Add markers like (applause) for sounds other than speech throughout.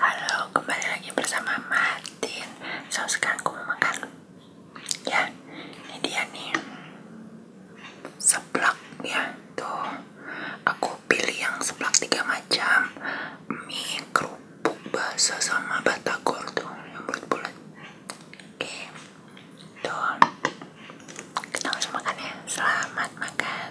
Halo, kembali lagi bersama Martin. So sekarang aku Ya, ini dia nih. Seblak ya, tuh. Aku pilih yang seblak tiga macam. Mie, kerupuk, bakso sama batagor tuh, yang bulat-bulat. Oke. Tuh. Kita langsung makan ya. Selamat makan.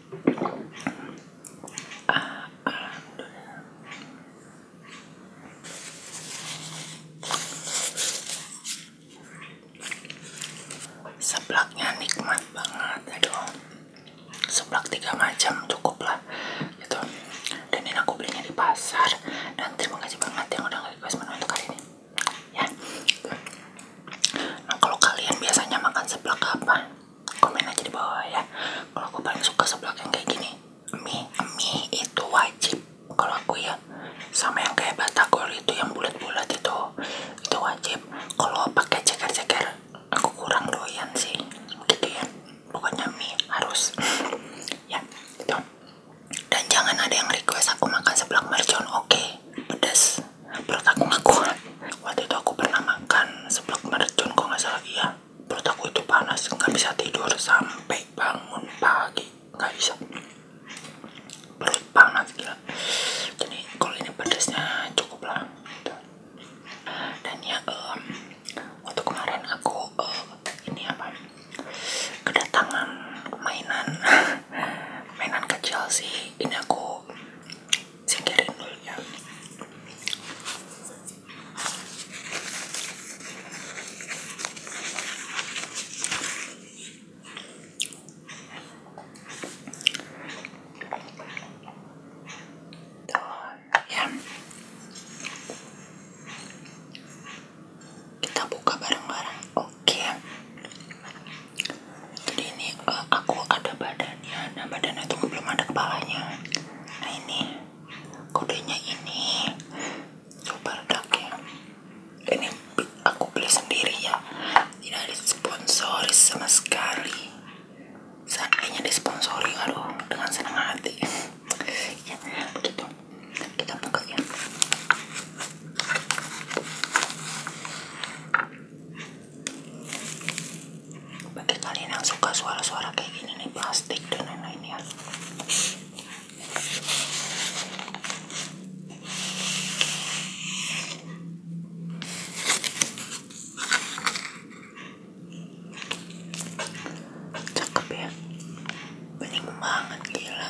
Seblaknya nikmat banget, aduh. Ya Seblak tiga macam cukup lah, gitu. Dan ini aku belinya di pasar. Dan terima kasih banget yang udah request menu untuk kali ini ya nah kalau kalian biasanya makan seblak apa komen aja di bawah ya kalau aku paling suka seblak yang kayak gini mie mie itu wajib kalau aku ya sama yang kayak batagor itu yang bulat-bulat itu itu wajib kalau pakai ceker-ceker aku kurang doyan sih gitu ya pokoknya mie harus (laughs) ya itu dan jangan ada yang request aku makan seblak mercon oke pedas perut aku nggak waktu itu aku pernah makan sebelum mercon kok nggak salah iya perut aku itu panas nggak bisa tidur sampai bangun pagi nggak bisa perut panas gila jadi kalau ini pedasnya cukup lah dan ya um, waktu kemarin aku uh, ini apa kedatangan mainan mainan kecil sih ini aku singkirin dulu ya, ya kita buka bareng-bareng oke jadi ini eh, aku ada badannya nah badannya itu belum ada kepalanya nah ini kodenya ini super dark ya ini aku beli sendiri ya tidak disponsori sama sekali seandainya disponsori aduh dengan senang hati (laughs) ya begitu kita buka ya bagi kalian yang suka suara-suara kayak gini nih plastik dan lain-lain ya cakep ya bening banget gila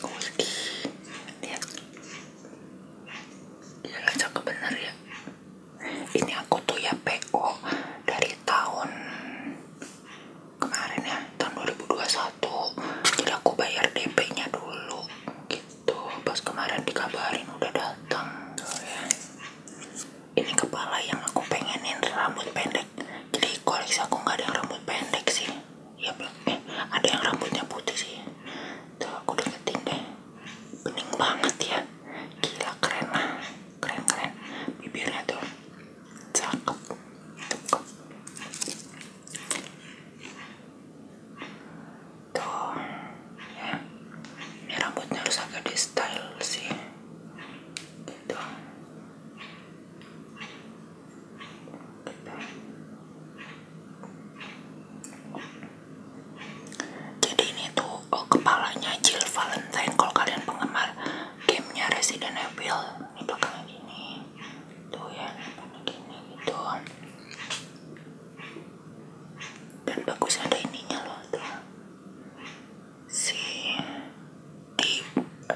Kuski ya Iya, iya cakep bener ya Ini aku tuh ya PO dari tahun kemarin ya tahun 2021 Jadi aku bayar DP nya dulu gitu Pas kemarin dikabarin udah datang ya. Ini kepala yang aku pengenin rambut pendek jadi koleksi aku nggak ada yang rambut pendek sih ya belum eh ada yang rambutnya putih sih tuh aku deketin deh bening banget ya gila keren lah keren keren bibirnya tuh cakep cakep tuh ya ini rambutnya harus agak di style sih gitu jadi ini tuh oh, kepalanya Jill Valentine kalau kalian penggemar gamenya Resident Evil ini belakangnya gini tuh gitu ya gini gitu dan bagus ada ininya loh tuh si di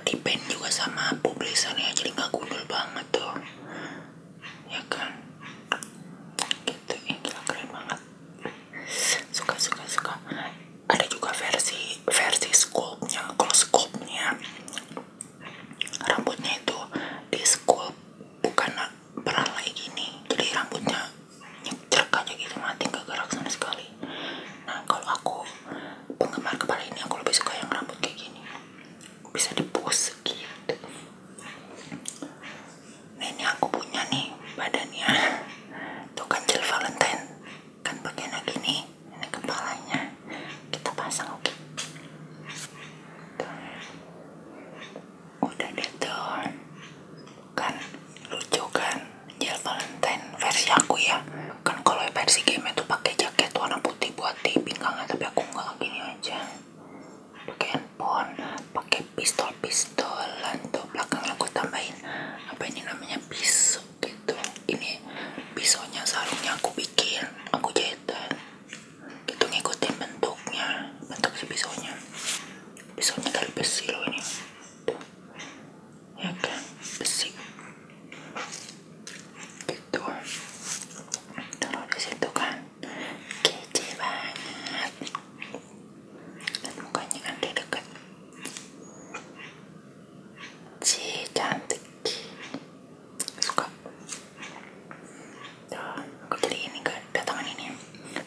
depend juga sama publisannya jadi nggak gundul banget tuh ya kan gitu ya gila keren banget suka suka suka ada juga versi versi sculpt nya kalau sculpt nya rambutnya itu di sculpt bukan berantai gini jadi rambutnya nyetrak aja gitu mati gak gerak sama sekali nah kalau aku penggemar kepala ini aku lebih suka yang rambut kayak gini bisa dipose gitu nah ini aku punya nih badannya tuh kan gel valentine kan bagiannya gini ini kepalanya kita pasang oke udah deh tuh kan lucu kan Jill Valentine versi aku ya kan kalau versi game itu pakai jaket warna putih buat di kangen, tapi aku nggak gini aja pakai handphone pakai pistol pistolan tuh belakangnya aku tambahin apa ini namanya pisau gitu ini pisaunya sarungnya aku bikin aku jahitan gitu ngikutin bentuknya bentuk si pisaunya pisaunya dari besi loh ini ya kan besi gitu taruh di situ kan kece banget dan mukanya kan di deket si cantik suka tuh aku jadi ini kan datangan ini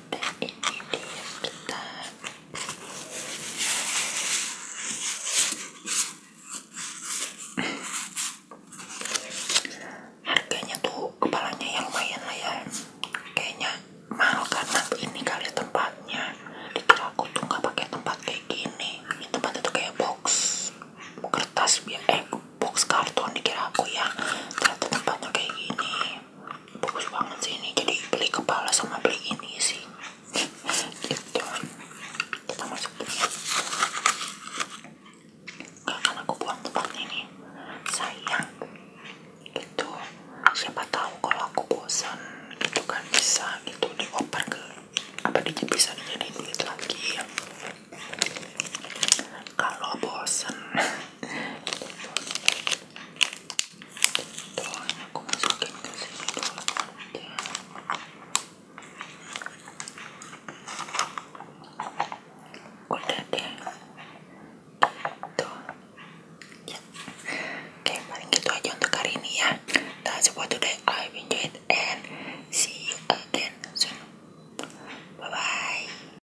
dan ini dia kita Harganya tuh kepalanya yang lumayan lah ya. Kayaknya mahal karena ini kali tempatnya. Dikira aku tuh nggak pakai tempat kayak gini. Ini tempatnya tuh kayak box kertas biar eh box karton dikira aku ya. Ternyata tempatnya kayak gini bagus banget sih ini jadi beli kepala sama beli ini sih gitu kita masukin ya gak akan aku buang tempat ini sayang gitu siapa tahu kalau aku bosan itu kan bisa gitu dioper ke apa di bisa dijadiin duit lagi kalau bosan (laughs) udah deh tuh ya. oke paling gitu aja untuk hari ini ya that's for today I enjoyed and see you again soon bye bye